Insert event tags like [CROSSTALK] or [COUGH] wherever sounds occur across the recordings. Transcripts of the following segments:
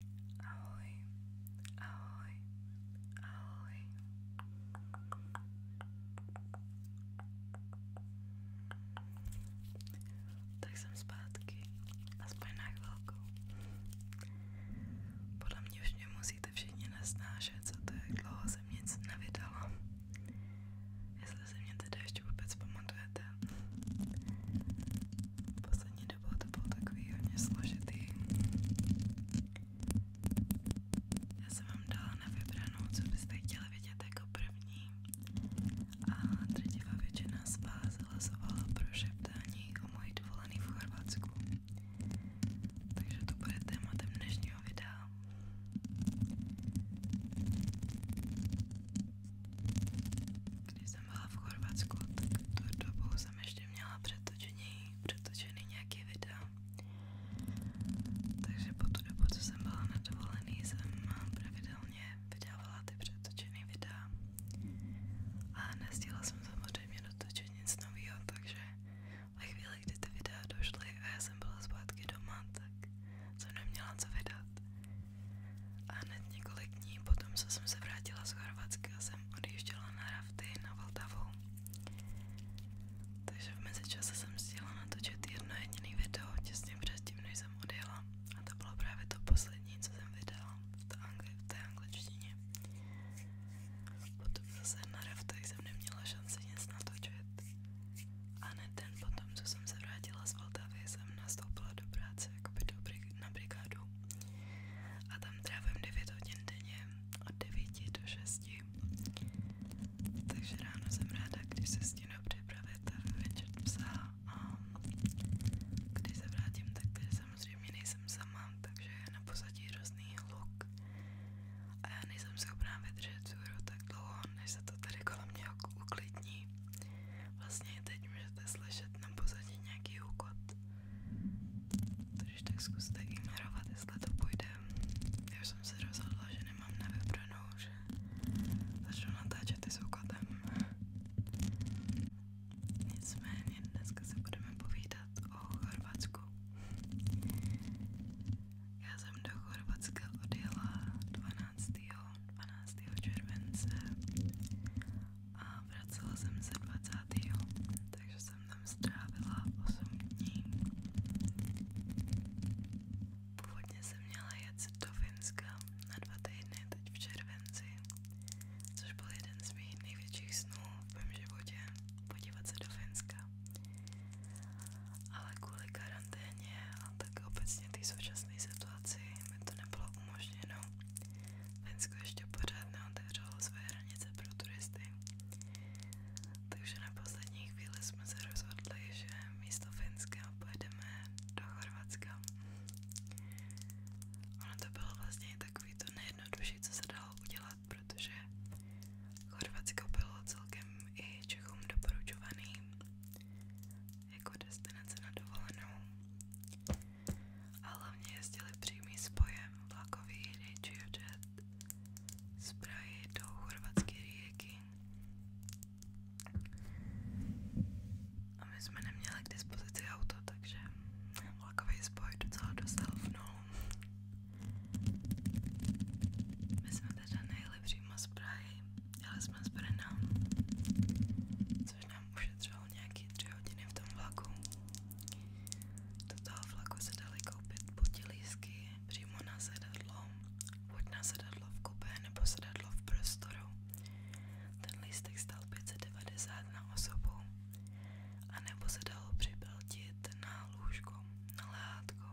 Ahoj, ahoj, ahoj. Tak jsem zpátky, aspoň na chvilku. Podle mě už mě musíte všichni nesnášet, co to je, dlouho jsem nic nevydala. Jestli se mě teda ještě vůbec pamatujete. Poslední dobou to bylo takový hodně složitý. Já jsem vám dala na vybranou, co byste chtěli vidět jako první. A drtivá většina z vás hlasovala pro šeptání o mojí dovolený v Chorvatsku. Takže to bude tématem dnešního videa. Když jsem byla v Chorvatsku, tak tu dobu jsem ještě měla přetočený, přetočený nějaký videa. Takže po tu dobu, co jsem byla na dovolený, jsem pravidelně vydávala ty přetočený videa. A nestíla jsem samozřejmě dotočit nic nového, takže ve chvíli, kdy ty videa došly a já jsem byla zpátky doma, tak jsem neměla co vydat. A hned několik dní potom, co jsem se vrátila z Chorvatska, jsem odjížděla na rafty na Vltavu. Takže v mezičase jsem stihla natočit jedno jediné video těsně předtím, než jsem odjela. A to bylo právě to poslední, co jsem vydala v, angli v té angličtině. Potom zase na raftech jsem neměla šanci nic natočit. A hned den potom, co jsem se vrátila z Vltavy, jsem nastoupila do práce jako by dobrý na brigádu a tam trávím 9 hodin denně od 9 do 6. Takže ráno jsem ráda, když se stínu připravit a večer psa a když se vrátím, tak samozřejmě nejsem sama, takže je na pozadí různý hluk a já nejsem schopná vydržet vzhůru tak dlouho, než se to tady kolem mě uklidní. Vlastně Minimálně teď můžete slyšet na pozadí nějaký úkot. Takže tak zkuste ignorovat, jestli to půjde. Já už jsem se rozhodla, že nemám na vybranou, že začnu natáčet i s úkotem. Nicméně dneska se budeme povídat o Chorvatsku. Já jsem do Chorvatska odjela 12. 12. července a vracela jsem se 20. takže jsem tam strávila 8 dní. Původně jsem měla jet do Finska na dva týdny, teď v červenci, což byl jeden z mých největších snů v mém životě, podívat se do Finska. Ale kvůli karanténě a tak obecně té současné situaci mi to nebylo umožněno Finsko ještě pořád neotevřelo své hranice pro turisty. Takže na poslední chvíli jsme se rozhodli, že místo Finska pojedeme do Chorvatska. Ono to bylo vlastně takový to nejjednodušší, co se dalo udělat, protože Chorvatsko bylo celkem i Čechům doporučovaný jako destinace na dovolenou a hlavně jezdili přímý spojem vlakový Jet z Prahy do chorvatské Rijeky. A my jsme neměli k dispozici auto, takže vlakový spoj docela dostal v nulu. My jsme teda nejeli přímo z Prahy, jeli jsme z Brna což nám ušetřilo nějaké tři hodiny v tom vlaku. Do toho vlaku se dali koupit potilísky přímo na sedadlo, buď na sedadlo v kupé nebo sedadlo v prostoru. Ten lístek stál 590 na osobu a nebo se dalo připeltit na lůžko, na lehátko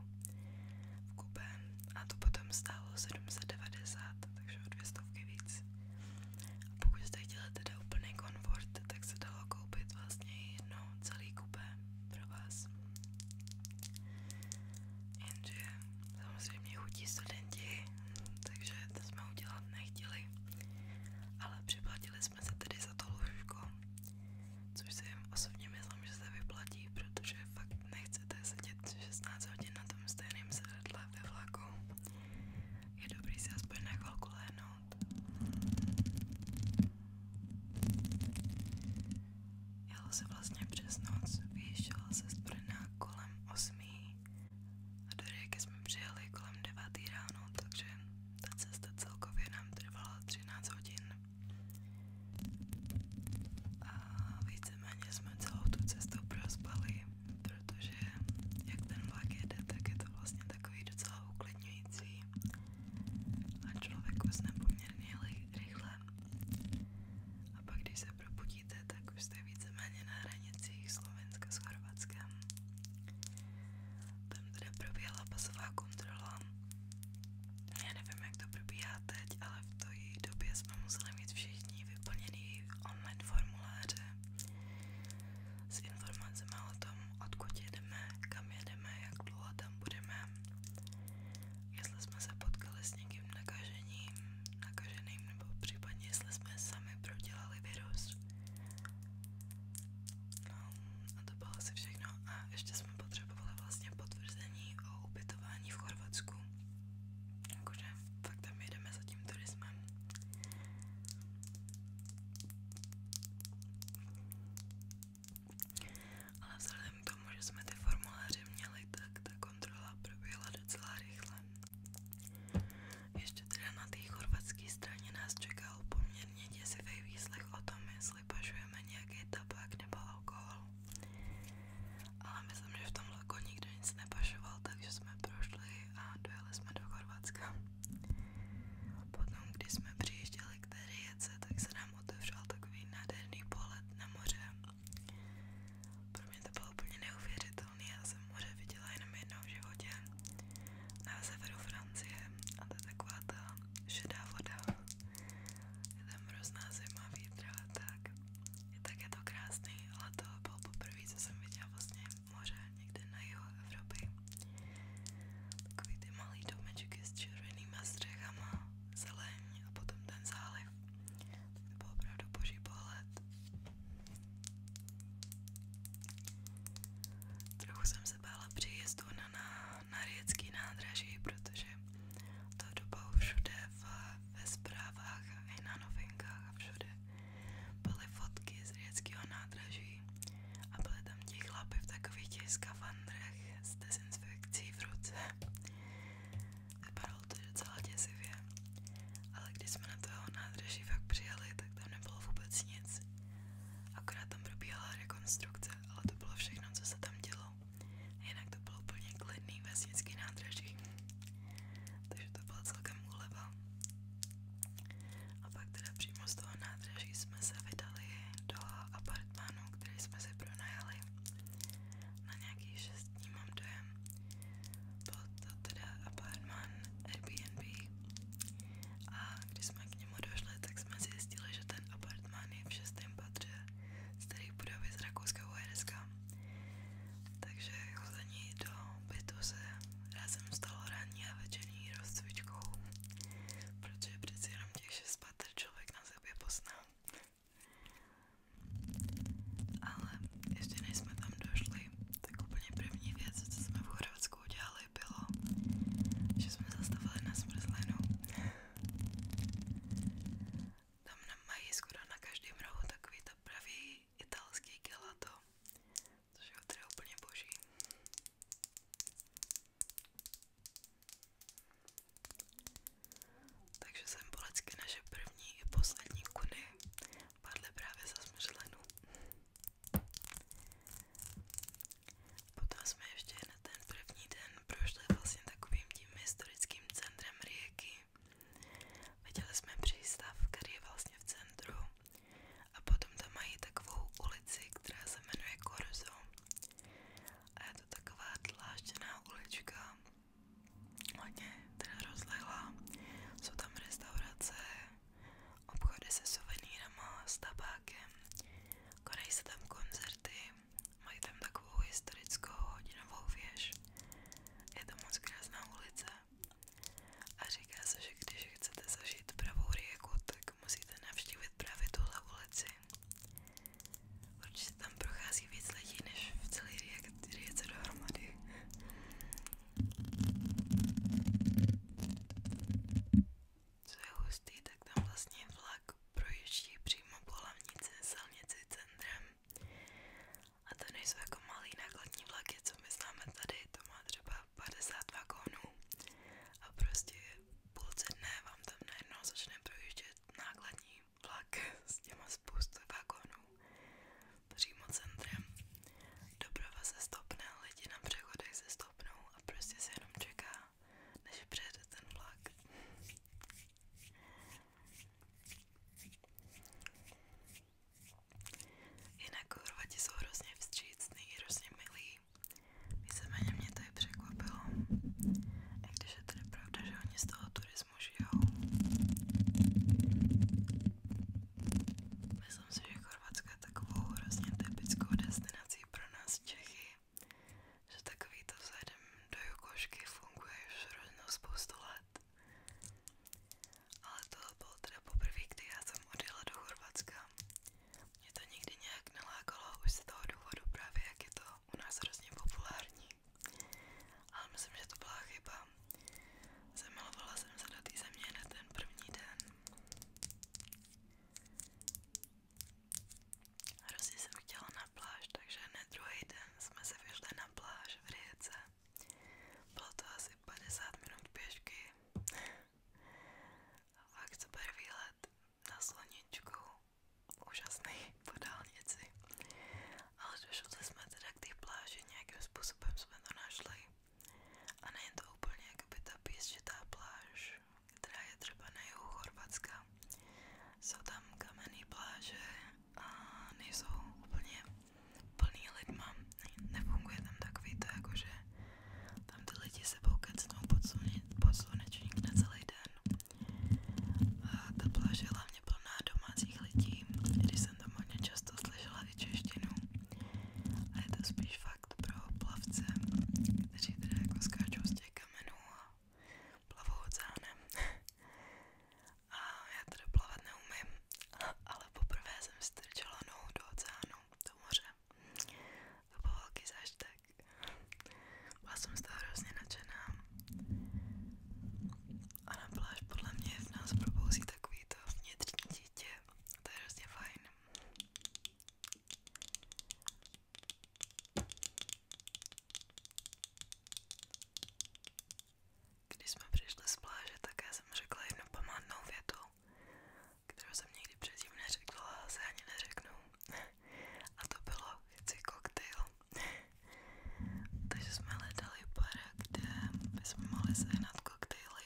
v kupé a to potom stálo 790, takže o dvě stovky víc. A pokud jste chtěli teda úplný komfort, tak se dalo koupit vlastně jedno celý kupé pro vás. Jenže samozřejmě chutí studenti, takže to jsme udělat nechtěli. Ale připlatili jsme se tedy za to lůžko, což si osobně myslím, že se vyplatí, protože fakt nechcete sedět 16 hodin na tom stejném sedadle ve vlaku. Je dobrý si aspoň na chvilku lehnout. Jelo se vlastně přes noc, vyjížděla se z Brna kolem 8. A do Rijeka jsme přijeli kolem 9. ráno, takže ta cesta celkově nám trvala 13 hodin. A víceméně jsme celou tu cestu prospali, protože jak ten vlak jede, tak je to vlastně takový docela uklidňující a člověk usne poměrně rychle. A pak když se probudíte, tak už jste víceméně na hranicích Slovenska s Chorvatskem. Tam teda proběhla pasová kontrola. Já nevím, jak to probíhá teď, ale v té době jsme museli mít všichni vyplněný online formuláře s informacemi o tom, odkud jedeme, kam jedeme, jak dlouho tam budeme, jestli jsme se potkali s někým nakažením, nakaženým, nebo případně jestli jsme sami prodělali virus. No, a to bylo asi všechno. A ještě jsme potřebovali vlastně potvrzení o ubytování v Chorvatsku. Jakože fakt tam jedeme za tím turismem. Ale vzhledem k tomu, že jsme ty formuláře měli, tak ta kontrola proběhla docela rychle. Ještě teda na té chorvatské straně nás čekal poměrně děsivý výslech o tom, jestli pašujeme nějaký tabák nebo alkohol. Ale myslím, že v tom vlaku jako nikdo nic nepašoval, takže jsme prošli a dojeli jsme do Chorvatska. Potom, když jsme přijížděli k té rijece, tak se nám otevřel takový nádherný pohled na moře. Pro mě to bylo úplně neuvěřitelné, já jsem moře viděla jenom jednou v životě na severu Francie a to je taková ta šedá voda. Je tam hrozná zima, vítr a tak je také to krásný, ale to bylo poprvé, co jsem viděla vlastně moře někde na jihu Evropy. Takový ty malý domečky s červenýma střechama, zeleň a potom ten záliv. Tak to byl opravdu boží pohled. Trochu jsem se bála příjezdu na, na, na Riecký nádraží, protože to doba všude v ve zprávách a na novinkách a všude byly fotky z řeckého a byly tam ti chlapy v takových těch s dezinfekcí v ruce. Vypadalo to docela děsivě, ale když jsme na toho nádraží fakt přijeli, tak tam nebylo vůbec nic. Akorát tam probíhala rekonstrukce, ale to bylo všechno, co se tam dělo. Jinak to bylo úplně klidný vesnický nádraží. Takže to byla celkem úleva. A pak teda přímo z toho nádraží jsme se vydali do apartmánu, který jsme si pronajali na nějaký šest dní, mám dojem. Byl to teda apartmán Airbnb a když jsme k němu došli, tak jsme zjistili, že ten apartmán je v šestém patře starý budovy z Rakouska Uherska takže chození do bytu se rázem stalo ranní a večerní rozcvičkou, protože přeci jenom těch šest patr člověk na sebe pozná. Ale ještě než jsme tam došli, tak úplně první věc, co jsme v Chorvatsku udělali, bylo, že jsme zastavili na smrzlinu. Tam mají skoro na každém rohu takový to pravý italský gelato, což je teda úplně boží. Takže jsem polecky naše první i poslední kuny padly právě za smřelenu. Potom jsme ještě na ten první den prošli vlastně takovým tím historickým centrem Rijeky, Viděli jsme přístav, který je vlastně v centru a potom tam mají takovou ulici, která se jmenuje Korzo a je to taková dlážděná ulička, hodně teda rozlehlá, jsou tam restaurace, obchody se suvenýrama, s tabákem, konají se tam koncerty mají tam takovou historickou hodinovou věž. Je to moc krásná ulice a říká se, že když chcete zažít pravou rieku, tak musíte navštívit právě tuhle ulici. Určitě tam prochází víc lidí, než v celé riece dohromady. Co je hustý, tak tam vlastně vlak projíždí přímo po hlavnici silnici centrem a to nejsou jako malý nákladní vlaky, co my známe tady, to má třeba 50 vagónů a prostě půlce dne vám tam najednou začne projíždět nákladní vlak [LAUGHS] s těma spoustu vagónů přímo centrem. Doprava se stopne, lidi na přechodech se stopnou a prostě se jenom čeká, než přijede ten vlak. Jinak Horvati jsou hrozně vstřícný, hrozně milí. Víceméně mě to i překvapilo. I když je tedy pravda, že oni z toho turismu žijou. Myslím si, že Chorvatsko je takovou hrozně typickou destinací pro nás Čechy že takovýto vzhledem do jukošky funguje už hroznou spoustu let. Ale to bylo teda poprvé, kdy já jsem odjela do Chorvatska. Mě to nikdy nějak nelákalo už z toho důvodu právě, jak je to u nás hrozně populární. Ale myslím, že to byla chyba. Zamilovala jsem se do té země na ten první den. Hrozně jsem chtěla na na pláž, takže hned druhý den jsme se vyšli na pláž v Rijece. Bylo to asi 50 minut pěšky. A fakt super výlet na sluníčku. Úžasný po dálnici. Ale došli jsme teda k té pláži, nějakým způsobem jsme to našli. A není to úplně jakoby ta písčitá pláž, která je třeba na jihu Chorvatska, jsou tam kamenné pláže a nejsou úplně plný lidma. Nefunguje tam takový to, jakože tam ty lidi sebou kecnou pod slunečník na celý den. A ta pláž je hlavně plná domácích lidí, když jsem tam hodně často slyšela i češtinu. A je to spíš fakt pro plavce, kteří teda jako skáčou z těch kamenů a plavou oceánem. A já teda plavat neumím, ale poprvé jsem strčela nohu do oceánu, do moře. To byl velký zážitek. Byla jsem z toho hrozně nadšená. A na pláž podle mě v nás probouzí takový to vnitřní dítě. To je hrozně fajn. Když jsme přišli z pláže, tak já jsem řekla jednu památnou větu, kterou jsem nikdy předtím neřekla a se ani neřeknu. A to bylo chci koktejl. Takže jsme hledali bar, kde bychom mohli sehnat koktejly.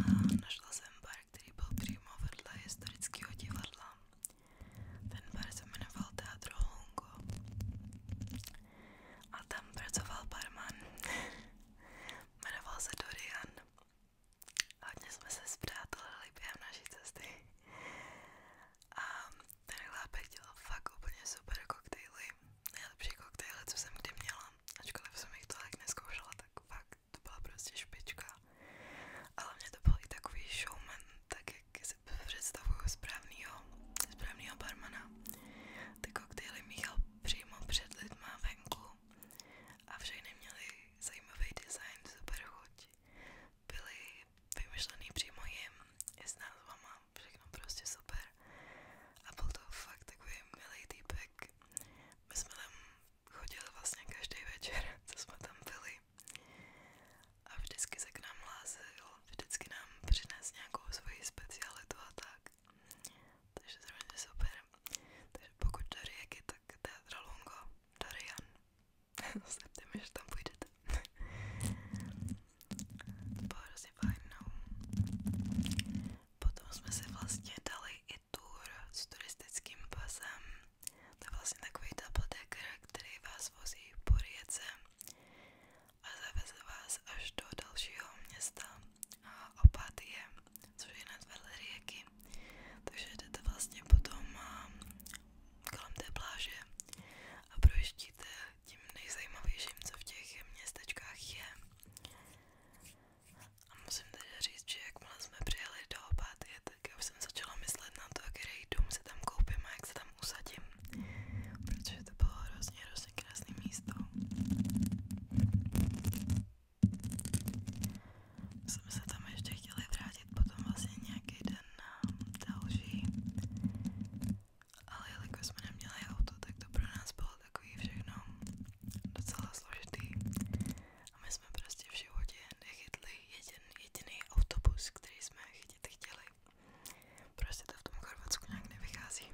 A našla jsem bar, který byl přímo vedle historického divadla. Ten bar se jmenoval Teatro Hongo a tam pracoval barman. [LAUGHS] jmenoval se Dorian. Hodně jsme se zpřátelili během naší cesty. A ten chlápek dělal fakt úplně super koktejly. Nejlepší koktejly, co jsem kdy měla. Ačkoliv jsem jich tolik neskoušela, tak fakt to byla prostě špička holka. A hlavně to byl i takový showman, tak jak si představuju správnýho, správnýho barmana. Ty koktejly míchal přímo před lidma venku a všechny měly zajímavý design, super chuť. Byly vymyšlený přímo jim, i s názvama, všechno prostě super. A byl to fakt takový milý týpek. My jsme tam chodil vlastně každý večer, [LAUGHS] co jsme tam byli. A vždycky se k nám lázil, vždycky nám přines nějakou svoji specialitu a tak. Takže to je super. Takže pokud do Rijeky, tak Teatro Lungo, Dorian. Zepte [LAUGHS] mi, že tam půjdete. to bylo hrozně fajn, no. Potom jsme si vlastně dali i tour s turistickým pasem to je vlastně takový tabletek, který vás vozí po riece a zaveze vás až do dalšího města Opatie, což je nad vedle rieky. Takže jdete vlastně potom kolem té pláže a projíždíte tím nejzajímavějším, co v těch městečkách je. A musím teda říct, že jakmile jsme přijeli do Opatie, tak já už jsem začala myslet na to, který dům si tam koupím a jak se tam usadím, protože to bylo hrozně, hrozně krásné místo. Jsme se tam ještě chtěli vrátit potom vlastně nějaký den na další, ale jelikož jsme neměli auto, tak to pro nás bylo takový všechno docela složitý a my jsme prostě v životě nechytli jeden, jediný autobus, který jsme chytit chtěli. Prostě to v tom Chorvatsku nějak nevychází.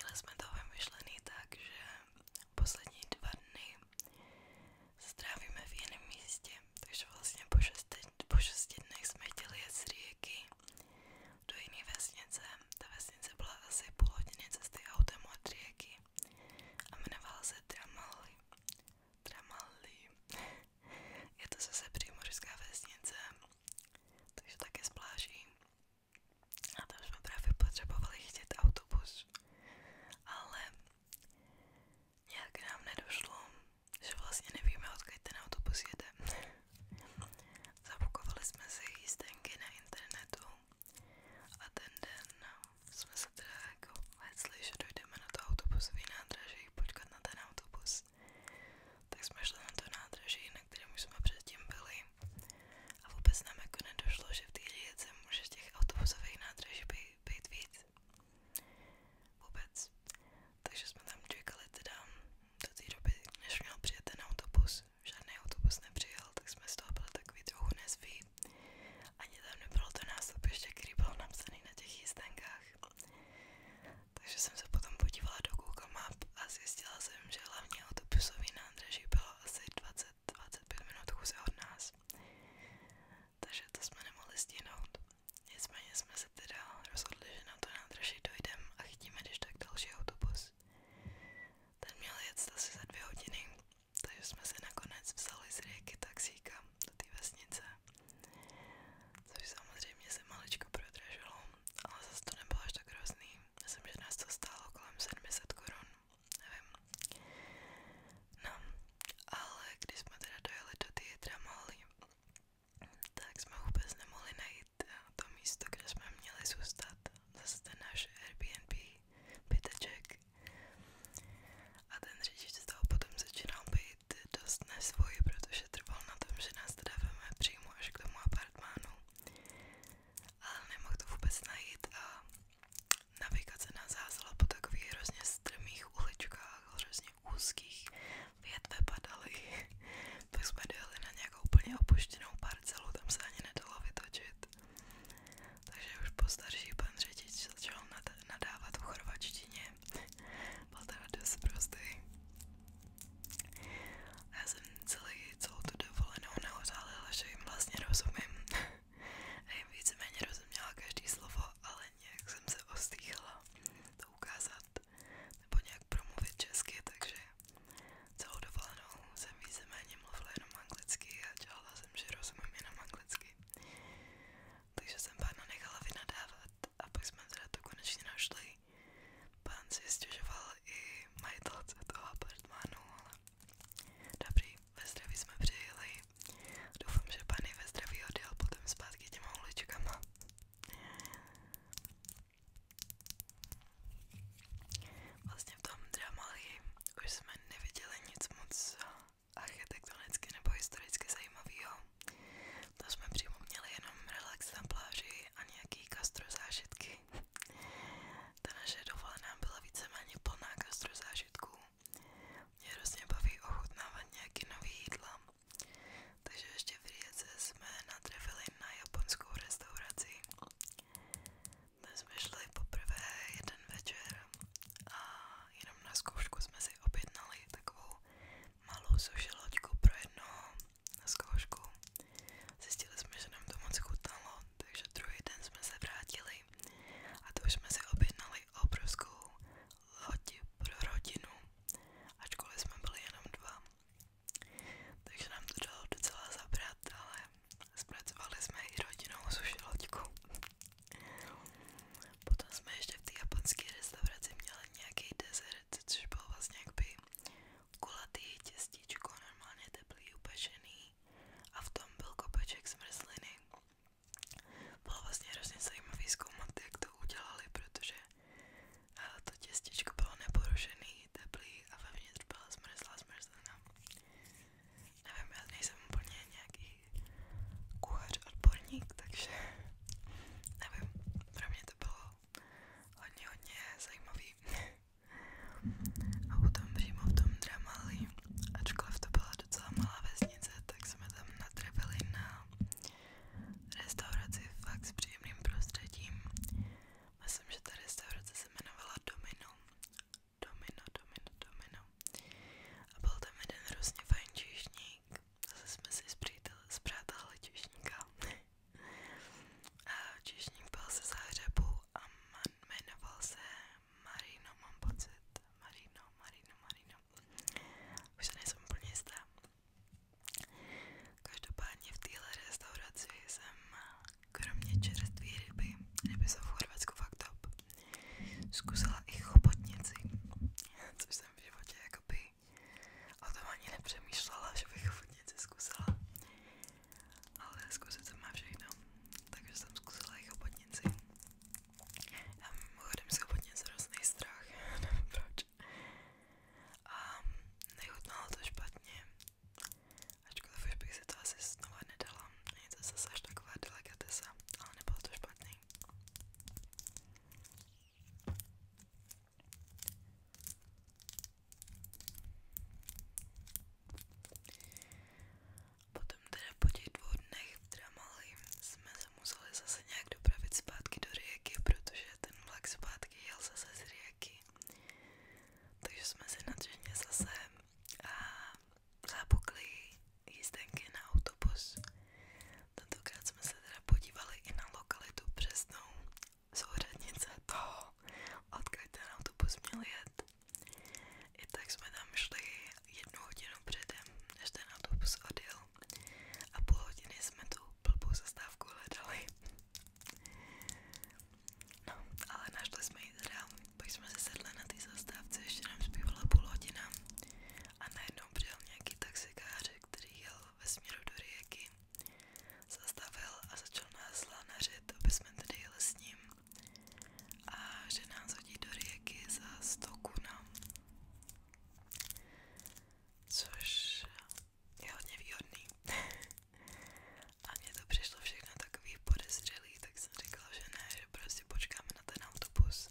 Měli jsme to vymyšlený tak, že poslední dva dny strávíme v jiném místě, takže vlastně po šesti, po šesti dnech jsme chtěli jet z Rijky do jiné vesnice. Ta vesnice byla asi půl hodiny cesty autem od Rijky a jmenovala se Dramali. Dramali. [LAUGHS] Je to zase přímořská vesnice, takže také spláží. A tam jsme právě potřebovali chytit autobus, ale Nějak nám nedošlo, že vlastně nevíme, odkud ten autobus jede. [LAUGHS] Zabukovali jsme si jízdenky na internetu a ten den jsme se teda jako hecli, že dojdeme na to autobusový nádraží, počkat na ten autobus. Tak jsme šli na to nádraží, na kterém už jsme předtím byli a vůbec nám jako nedošlo, že v té říjece nemůže těch autobusových nádraží být, být víc. Vůbec. Takže jsme tam čekali teda do té doby, než měl přijet ten autobus. Žádný autobus nepřijel, tak jsme z toho byli takový trochu nezví. Ani tam nebylo to nástupiště, který bylo napsaný na těch jízdenkách. Takže jsem se potom podívala do Google Map a zjistila jsem, že hlavní autobusový nádraží bylo asi 20 20-25 minut chůze od nás, takže to jsme nemohli stihnout. Nicméně jsme se teda rozhodli, že na to nádraží dojdeme a chytíme když tak další autobus. Ten měl jet asi za dvě hodiny, takže jsme se nakonec vzali z rieky taxíka do té vesnice, což samozřejmě se maličko prodražilo, ale zase to nebylo až tak hrozný. Myslím, že nás to stálo kolem 700 korun nevím. No, ale když jsme teda dojeli do Tietra Mali, tak jsme vůbec nemohli najít eh, to místo, kde jsme měli zůstat. Zase ten náš Airbnb byteček. A ten řidič z toho potom začínal být dost nesvůj, protože trval na tom, že nás teda veme přímo až k tomu apartmánu. Ale nemohl to vůbec najít a navigace nás házela po takových hrozně strmých uličkách, hrozně úzkých, větve padaly, [LAUGHS] pak jsme dojeli na nějakou úplně opuštěnou parcelu, tam se ani nedalo vytočit. Takže už postarší pan řidič začal nadávat v chorvačtině, [LAUGHS] byl teda dost prostý. A já jsem celý, celou tu dovolenou neodhalila, že jim vlastně rozumím. [LAUGHS] a jim víceméně rozuměla každý slovo, ale nějak jsem se ostýchala to ukázat nebo nějak promluvit česky, takže celou dovolenou jsem víceméně mluvila jenom anglicky a dělala jsem, že rozumím jenom anglicky. Takže jsem pána nechala vynadávat a pak jsme teda to konečně našli. Pán si stěžoval i majitelce toho apartmánu, ale dobrý ve zdraví jsme přijeli. Doufám, že pan ve zdraví odjel potom zpátky těma uličkama. Vlastně v tom Dramali už jsme neviděli nic moc architektonicky nebo historicky zajímavého. To jsme přímo měli jenom relax na pláži a nějaký gastro zážitky. Ta naše dovolená byla víceméně plná gastrozážitků. Mě hrozně baví ochutnávat nějaký nový jídla. Takže ještě v Riece jsme natrefili na japonskou restauraci. Dnes jsme šli poprvé jeden večer a jenom na zkoušku jsme si objednali takovou malou suši loďku pro jednoho na zkoušku. Zjistili jsme, že nám to moc chutnalo, takže druhý den jsme se vrátili a to už jsme si objednali obrovskou loď pro rodinu, ačkoliv jsme byli jenom dva. Takže nám to dalo docela zabrat, ale zpracovali jsme i rodinou suši loďku. Potom jsme ještě v té japonské restauraci měli nějaký desert, což byl vlastně jakoby kulatý těstíčko, normálně teplý, upečený a v tom byl kopeček zmrzliny. Bylo vlastně hrozně zajímavý zkoumat, jak to udělali, protože eh, to těstičko bylo neporušený, teplý a vevnitř byla zmrzlá zmrzlina. Nevím, já nejsem úplně nějaký kuchař odborník, takže [LAUGHS] nevím, pro mě to bylo hodně, hodně zajímavý. [LAUGHS] A potom přímo v tom Dramali, ačkoliv to byla docela malá vesnice, tak jsme tam natrefili na restauraci fakt s příjemným prostředím. Myslím, že ta restaurace se jmenovala Domino. Domino, Domino, Domino. A byl tam jeden hrozně fajn číšník. Zase jsme si zpřátelili číšníka. [LAUGHS] A číšník byl se záhřebu a man, jmenoval se Marino, mám pocit. Marino, Marino, Marino. Už se nejsem úplně jistá. Každopádně v téhle restauraci jsem kromě čerstvé ryby, ryby jsou v Chorvatsku fakt top, zkusila i chobotnici, což jsem v životě jakoby o tom ani nepřemýšlela, že bych chobotnici zkusila ale zkusit se má všechno, takže jsem zkusila jich obotnici. Já mimochodem si obotnic hrozný strach, [LAUGHS] nevím proč. A nechutnalo to špatně, ačkoliv už bych si to asi znovu nedala, není to zase až taková delikatesa, ale nebylo to špatný. Potom teda po těch dvou jsme se zase nějak dopravit zpátky do Rijeky, protože ten vlak zpátky jel zase z Rijeky. Takže jsme se nadřeně zase a zápukli jízdenky na autobus. Tentokrát jsme se teda podívali i na lokalitu přesnou souřadnice toho, odkud ten autobus měl jet. I tak jsme tam šli jednu hodinu předem, než ten autobus odjel a půl hodiny jsme tu blbou zastávku hledali. No, ale našli jsme ji teda, pak jsme se sedli na té zastávce, ještě nám zbývala půl hodina a najednou přijel nějaký taxikář, který jel ve směru do Rijeky zastavil a začal nás lanařit, aby jsme tady jeli s ním a že nás hodí do rieky za 100 kuna. Což je hodně výhodný. [LAUGHS] a mně to přišlo všechno takový podezřelý, tak jsem říkala, že ne, že prostě počkáme na ten autobus.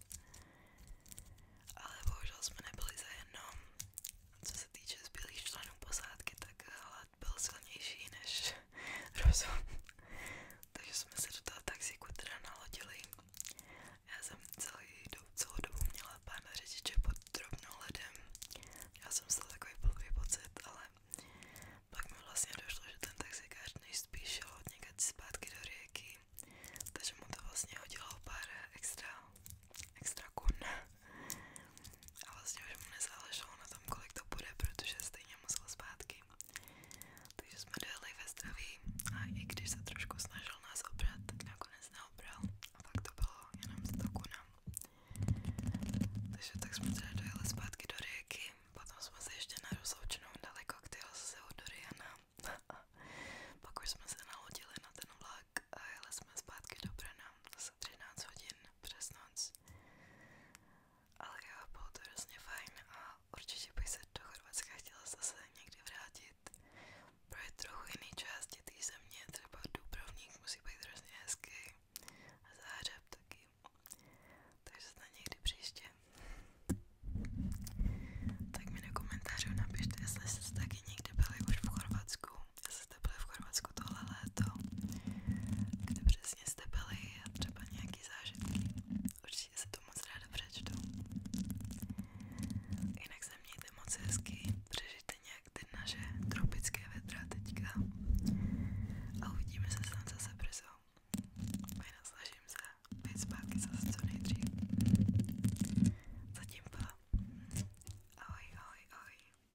Ale bohužel jsme nebyli za jednom. Co se týče zbylých členů posádky, tak byl silnější než [LAUGHS] rozum. Takže jsme se do toho taxíku teda nalodili. Já jsem celý, celou dobu měla pána řidiče pod drobnou ledem. Já jsem měla takový blbý pocit, ale pak mi vlastně došlo, že ten taxikář nejspíš šel od někde zpátky do rieky, takže mu to vlastně hodilo pár extra, extra kun. A vlastně už mu nezáleželo na tom, kolik to bude, protože stejně musel zpátky. Takže jsme dojeli ve zdraví a i když se trošku snažil nás obrat, tak nakonec neobral. A fakt to bylo jenom 100 kuna. Takže tak jsme teda dojeli zpátky do Rijeky, potom jsme se ještě na rozloučenou dali koktejl z do Rijana. [LAUGHS] Pak už jsme se nalodili na ten vlak a jeli jsme zpátky do Brna. Zase 13 hodin přes Ale jo, to hrozně fajn a určitě bych se do Chorvatska chtěla zase někdy vrátit. Pro je trochu jiný části té země, třeba Dubrovník musí být hrozně hezký a Záhřeb taky. Takže se někdy příště. Tak mi do komentářů napište, jestli jste taky někdy byli už v Chorvatsku jestli jste byli v Chorvatsku tohle léto, kde přesně jste byli a třeba nějaký zážitky. Určitě se to moc ráda přečtu. Jinak se mějte moc hezky, přežijte nějak ty naše tropické vedra teďka a uvidíme se snad zase brzo. A jinak snažím se být zpátky zase co nejdřív. Zatím pa. Ahoj, ahoj, ahoj.